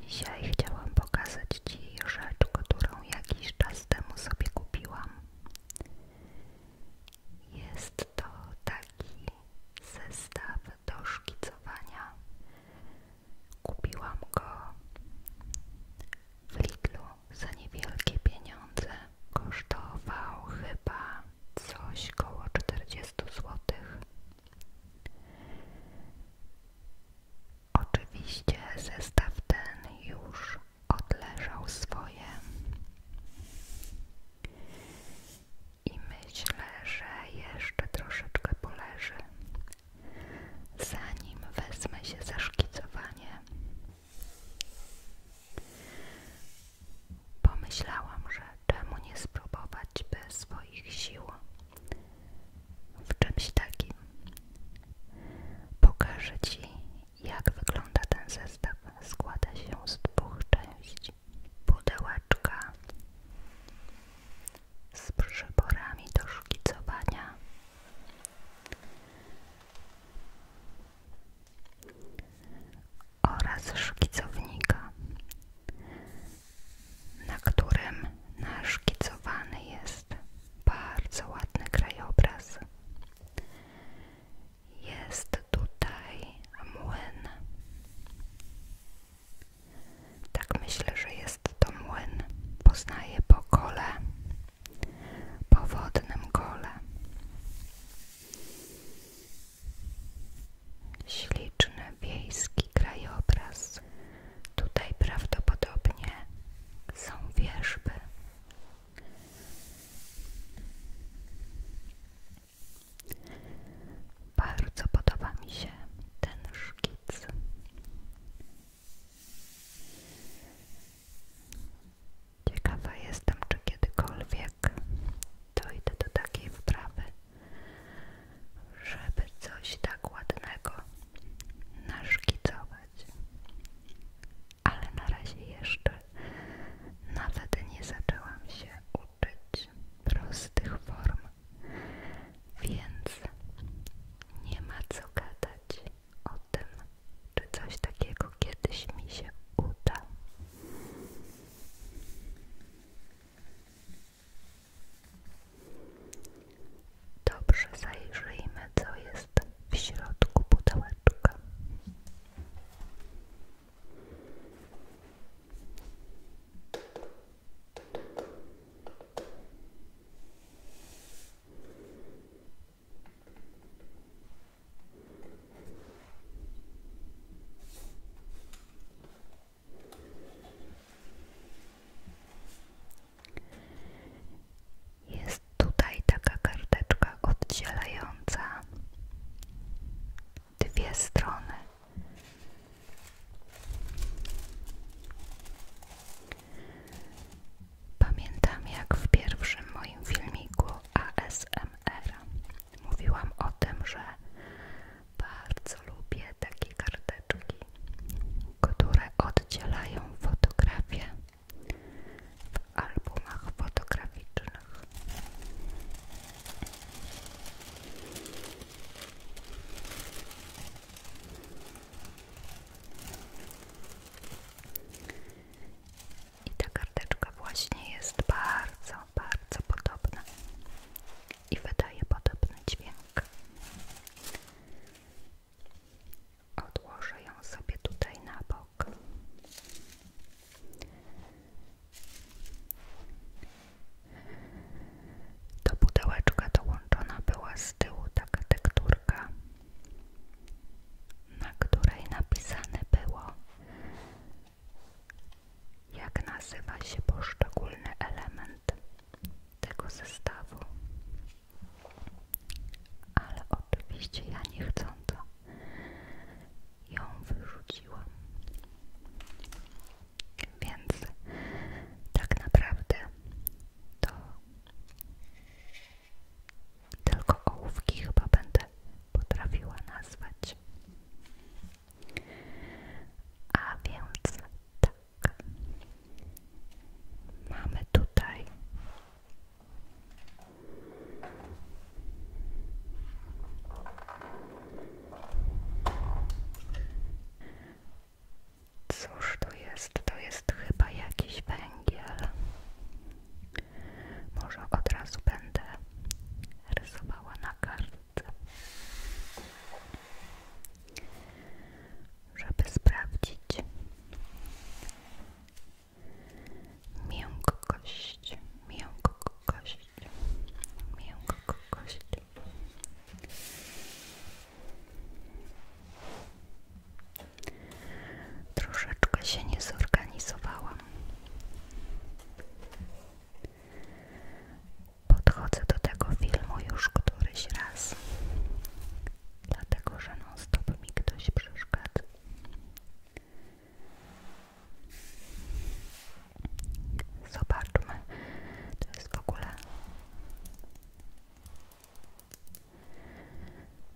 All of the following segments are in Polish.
Dzisiaj chciałam pokazać Ci rzecz, którą jakiś czas temu sobie kupiłam. Jest to taki zestaw do szkicowania. Kupiłam go w Lidlu za niewielkie pieniądze. Kosztował chyba coś około czterdziestu złotych. Oczywiście zestaw ten już odleżał swoje i myślę, że jeszcze troszeczkę poleży, zanim wezmę się za szkicowanie. Pomyślałam, że czemu nie spróbować bez swoich sił? W czymś takim. Pokażę Ci, jak wygląda ten zestaw. Składa się z dwóch części. Pudełeczka z przyborami do szkicowania. Oraz szkicownika na którym naszkicowany jest bardzo ładny krajobraz. Jest tutaj młyn. Tak myślę, że jest to młyn. Poznaję po kole, po wodnym kole. Śliczny wiejski krajobraz. Tutaj prawdopodobnie są wierzby. Bardzo podoba mi się ten szkic. Ciekawa jestem, czy kiedykolwiek dojdę do takiej wprawy żeby coś tak ładnego naszkicować. Ale na razie jeszcze nawet nie zaczęłam się uczyć prostych form, więc nie ma co gadać o tym, czy coś takiego kiedyś mi się uda. Dobrze, zajrzyjmy, co jest w środku pudełeczka. Jest tutaj taka karteczka oddzielająca dwie strony. Pamiętam jak w pierwszym moim filmiku ASMR mówiłam o tym, że bardzo lubię takie karteczki, które oddzielają fotografię w albumach fotograficznych. I ta karteczka właśnie jest bardzo, bardzo podobna i wydaje podobny dźwięk. Odłożę ją sobie tutaj na bok. Do pudełeczka dołączona była z tyłu taka tekturka, na której napisane było jak nazywa się poszczególny element tego zestawu? Ale oczywiście ja nie chcę to, ją wyrzuciłam. Więc tak naprawdę to tylko ołówki chyba będę potrafiła nazwać. A więc tak. Mamy tutaj Cóż to jest? To jest chyba jakiś węgiel. Może od razu będę rysowała na kartce żeby sprawdzić miękkość, miękkość, miękkość. Troszeczkę się nie zorganizowałam. Podchodzę do tego filmu już któryś raz, dlatego że non stop mi ktoś przeszkadza. Zobaczmy, to jest w ogóle.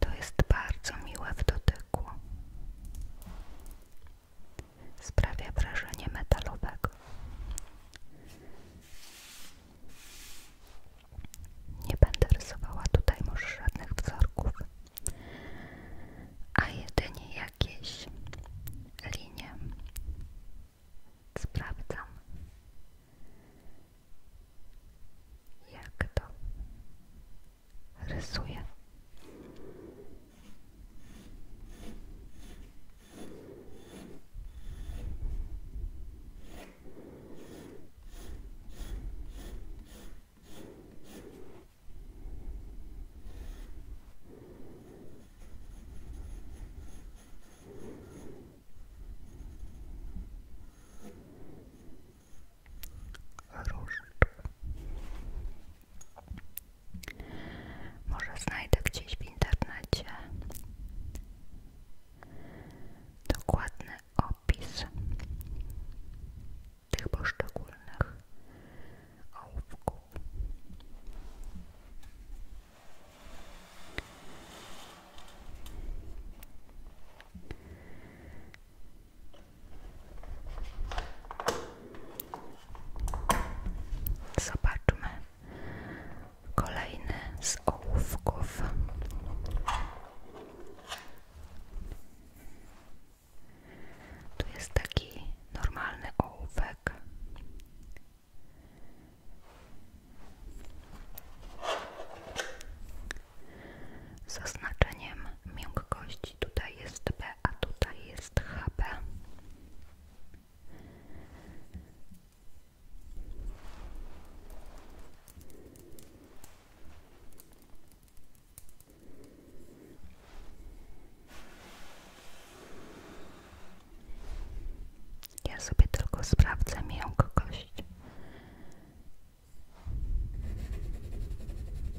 To jest bardzo miłe w dotyku. Sprawia wrażenie metalowego. Nie będę rysowała tutaj może żadnych wzorków, a jedynie jakieś linie. Sprawdzam, jak to rysuję. Różdżka. Może znajdę gdzieś w internecie dokładny opis tych poszczególnych ołówków. Zobaczmy kolejny z ołówków. Tu jest taki normalny ołówek. Z oznaczeniem miękkości tutaj jest B a tutaj jest HB. Ja sobie tylko sprawdzę miękkość.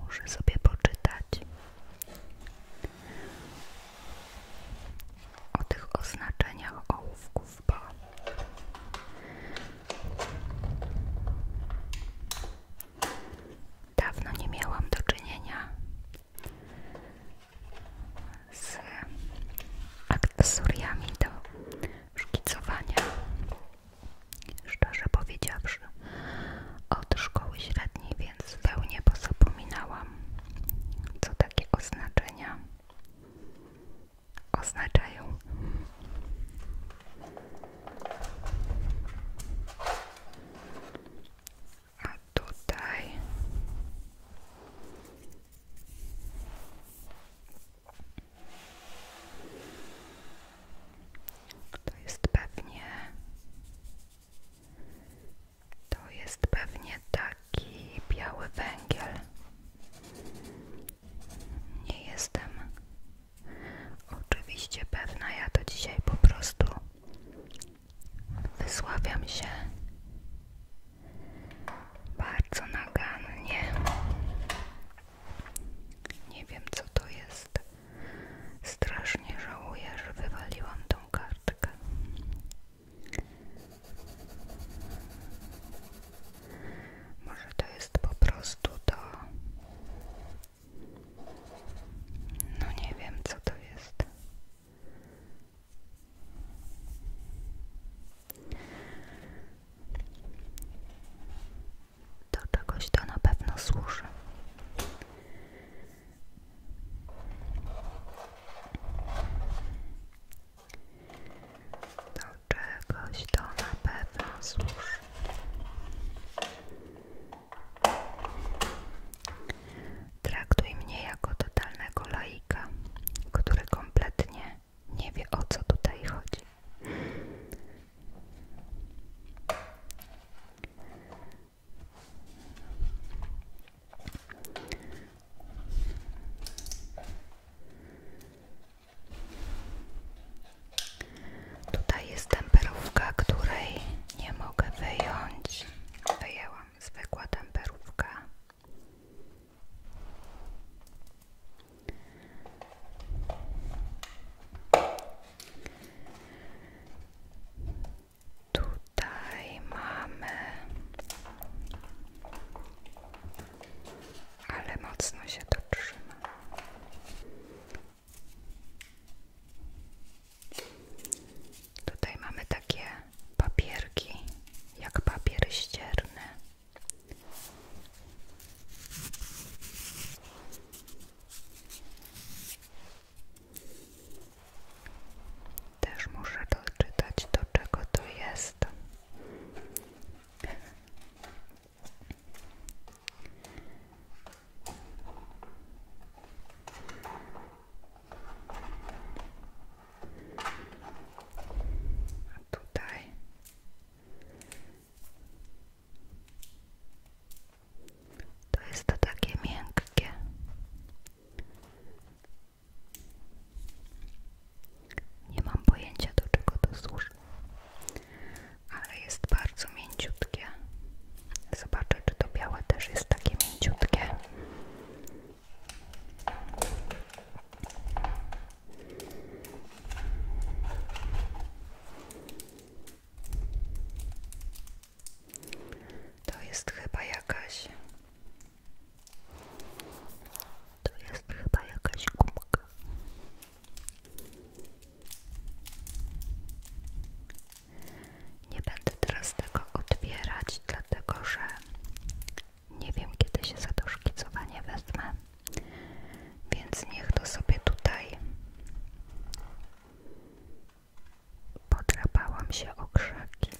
Muszę sobie poczytać o tych oznaczeniach ołówków, bo dawno nie miałam do czynienia z akcesoriami do szkicowania Szczerze powiedziawszy, od szkoły średniej, więc zupełnie pozapominałam, co takiego oznaczenia oznaczają. A tutaj to jest pewnie. To jest pewnie taki biały węgiel. Nie jestem oczywiście pewna, ja to dzisiaj po prostu wysławiam się bardzo nagannie. Nie wiem co to jest. Strasznie żałuję, że wywaliłam tą kartkę. Może to jest po prostu to. No nie wiem co to jest. Do czegoś to na pewno służy. Do czegoś to na pewno służy. Traktuj mnie jako totalnego laika, który kompletnie nie wiem o co tutaj chodzi. Tutaj jest temperówka, której nie mogę wyjąć. Wyjęłam zwykła temperówka. Tutaj mamy, ale mocno się trzyma. Tutaj mamy takie papierki, jak papier ścierny. Też muszę doczytać do czego to jest. A tutaj to jest to takie miękkie. Nie mam pojęcia do czego to służy, ale jest bardzo mięciutkie. Zobaczę, czy to białe też jest takie mięciutkie. To jest chyba jakaś. To jest chyba jakaś gumka. Nie będę teraz tego odbierać, dlatego że nie wiem, kiedy się za to szkicowanie wezmę, więc niech to sobie tutaj. Podrapałam się o krzaki.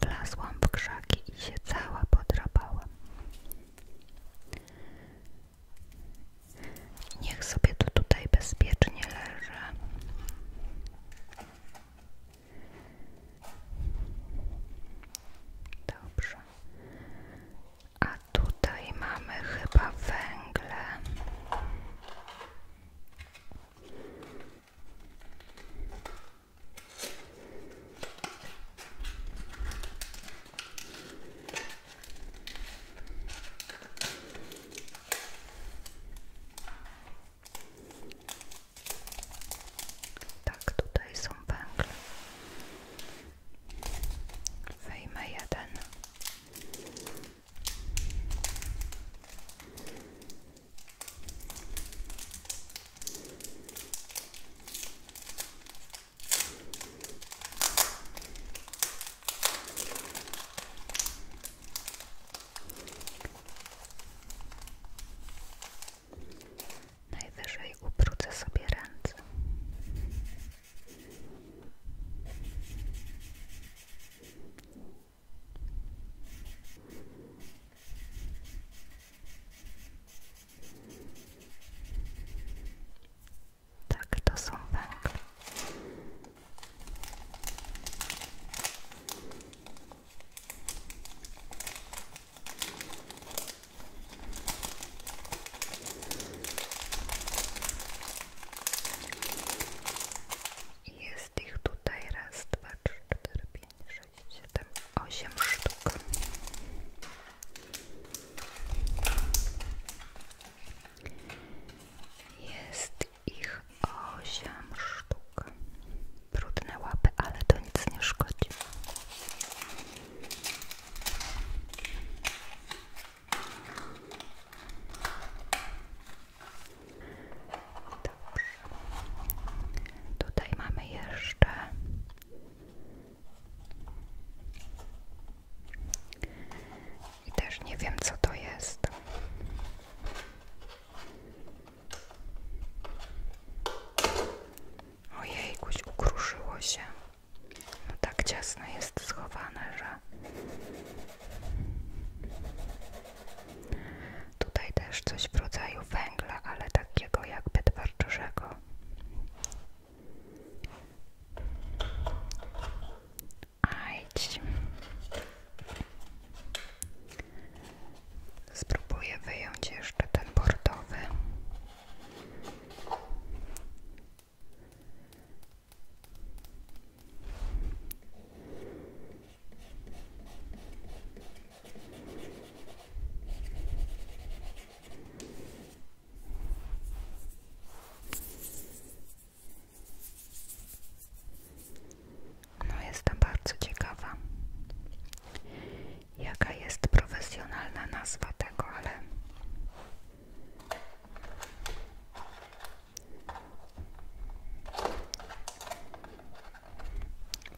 Wlazłam w krzaki i się cała podrapałam. Niech sobie to tutaj bezpiecznie leży. Dobrze. A tutaj mamy chyba węgle. Tak, tutaj są węgle. Wyjmę jeden. Najwyżej ubrudzę sobie ręce. Tak, to są węgle. Jest ich tutaj raz, dwa, trzy, cztery, pięć, sześć, siedem, osiem sztuk. Jest ich osiem sztuk. Brudne łapy, ale to nic nie szkodzi. Tutaj mamy jeszcze i też nie wiem, co to jest. Ojej, kuś ukruszyło się. No tak ciasno jest schowane, że. Tutaj też coś w rodzaju węgla, ale takiego jakby twardszego. Ajdź. Spróbuję wyjąć jeszcze ten bordowy. No jestem bardzo ciekawa, jaka jest profesjonalna nazwa tego, ale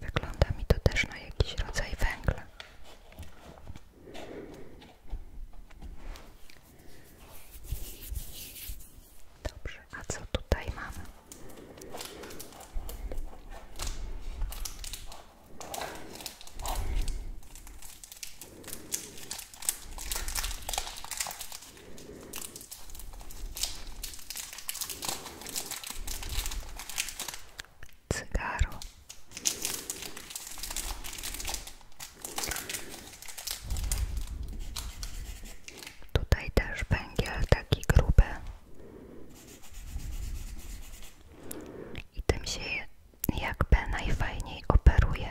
wygląda mi to też na jakiś rodzaj węgla. Dobrze, a co tutaj mamy? cygaro. Tutaj też węgiel taki gruby. I tym się jakby najfajniej operuje.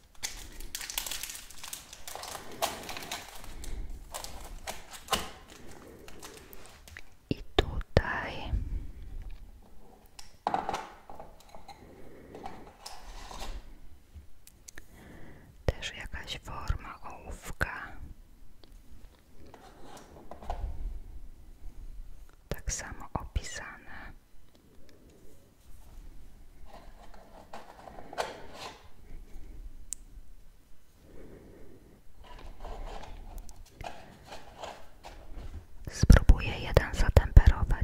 I tutaj też jakaś forma ołówka. Tak samo opisane. Spróbuję jeden zatemperować.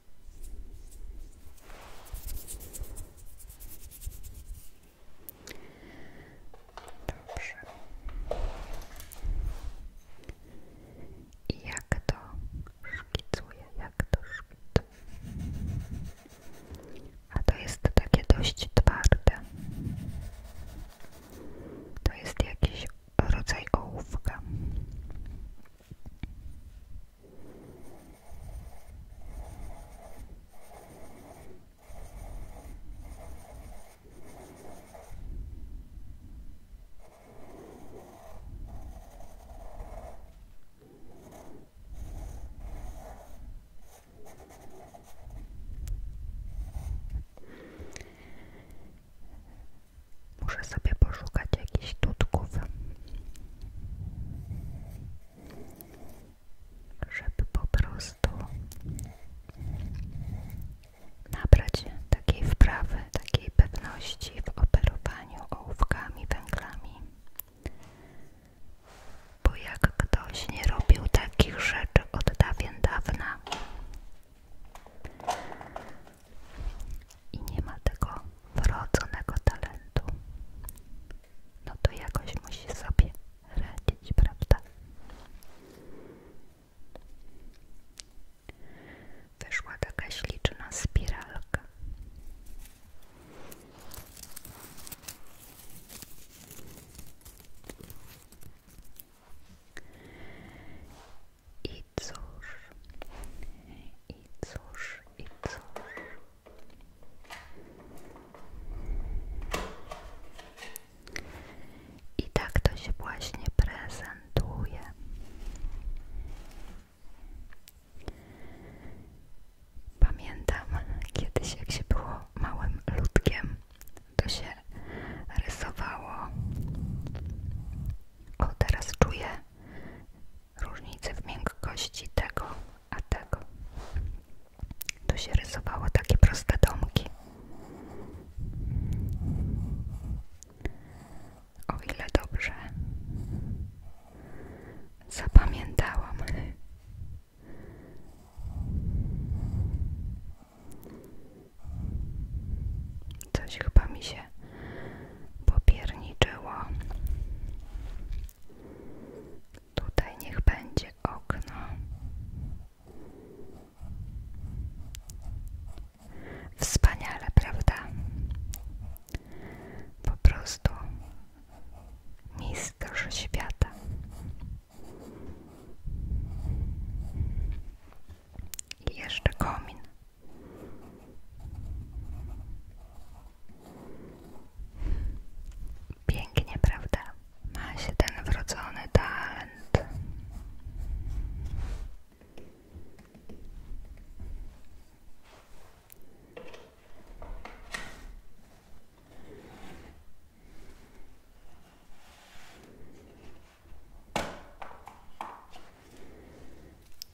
Dobrze. jak to szkicuje, jak to szkicuje. A to jest takie dość twarde. To jest jakiś rodzaj ołówka. Muszę sobie poszukać jakichś tutków żeby po prostu nabrać takiej wprawy, takiej pewności w operowaniu ołówkami, węglami. Bo jak ktoś nie robił takich rzeczy od dawien dawna, i nie ma tego wrodzonego talentu, no to jakoś musi sobie radzić, prawda? Wyszła taka śliczna spiralka. I cóż, i cóż, i cóż. I tak to się właśnie prezentuje. Pamiętam kiedyś, jak się było małym ludkiem, to się rysowało. O, teraz czuję różnice w miękkości tego a tego. Tu się rysowało takie proste domki. O ile dobrze zapamiętałam. Coś chyba mi się się popierniczyło. Tutaj niech będzie okno. Wspaniale, prawda? Po prostu mistrz świata. jeszcze komin. Pięknie, prawda? Ma się wrodzony talent.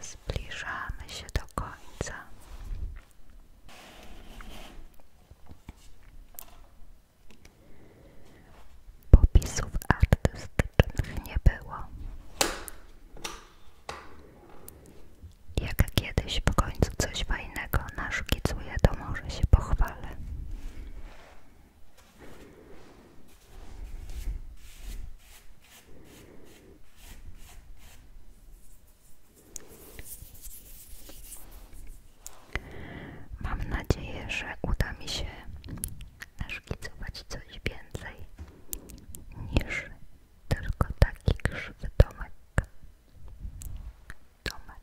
Zbliżamy się do końca. Popisów artystycznych nie było. Jak kiedyś po końcu coś fajnego naszkicuję, to może się pochwalę. Mam nadzieję, że uda mi się naszkicować coś więcej niż tylko taki krzywy domek. Domek.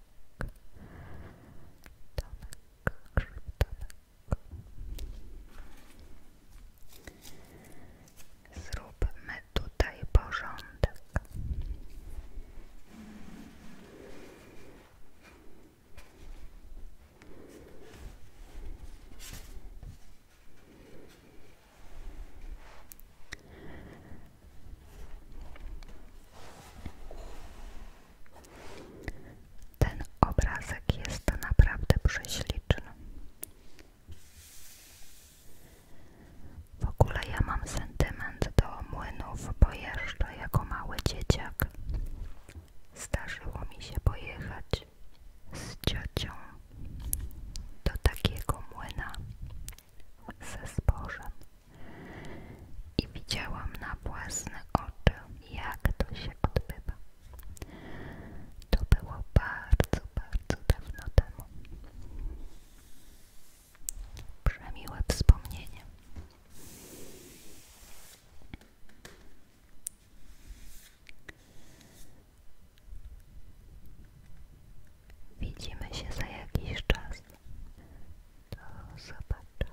Domek. Krzywy domek. Zróbmy tutaj porządek. Ten obrazek jest naprawdę prześliczny. W ogóle ja mam sentyment do młynów, bo jeszcze jako mały dzieciak zdarzyło mi się pojechać z ciocią do takiego młyna ze zbożem i widziałam na własne oczy, jak to się odbywa. To było bardzo, bardzo dawno temu było. wspomnienie. Widzimy się za jakiś czas. Do zobaczenia.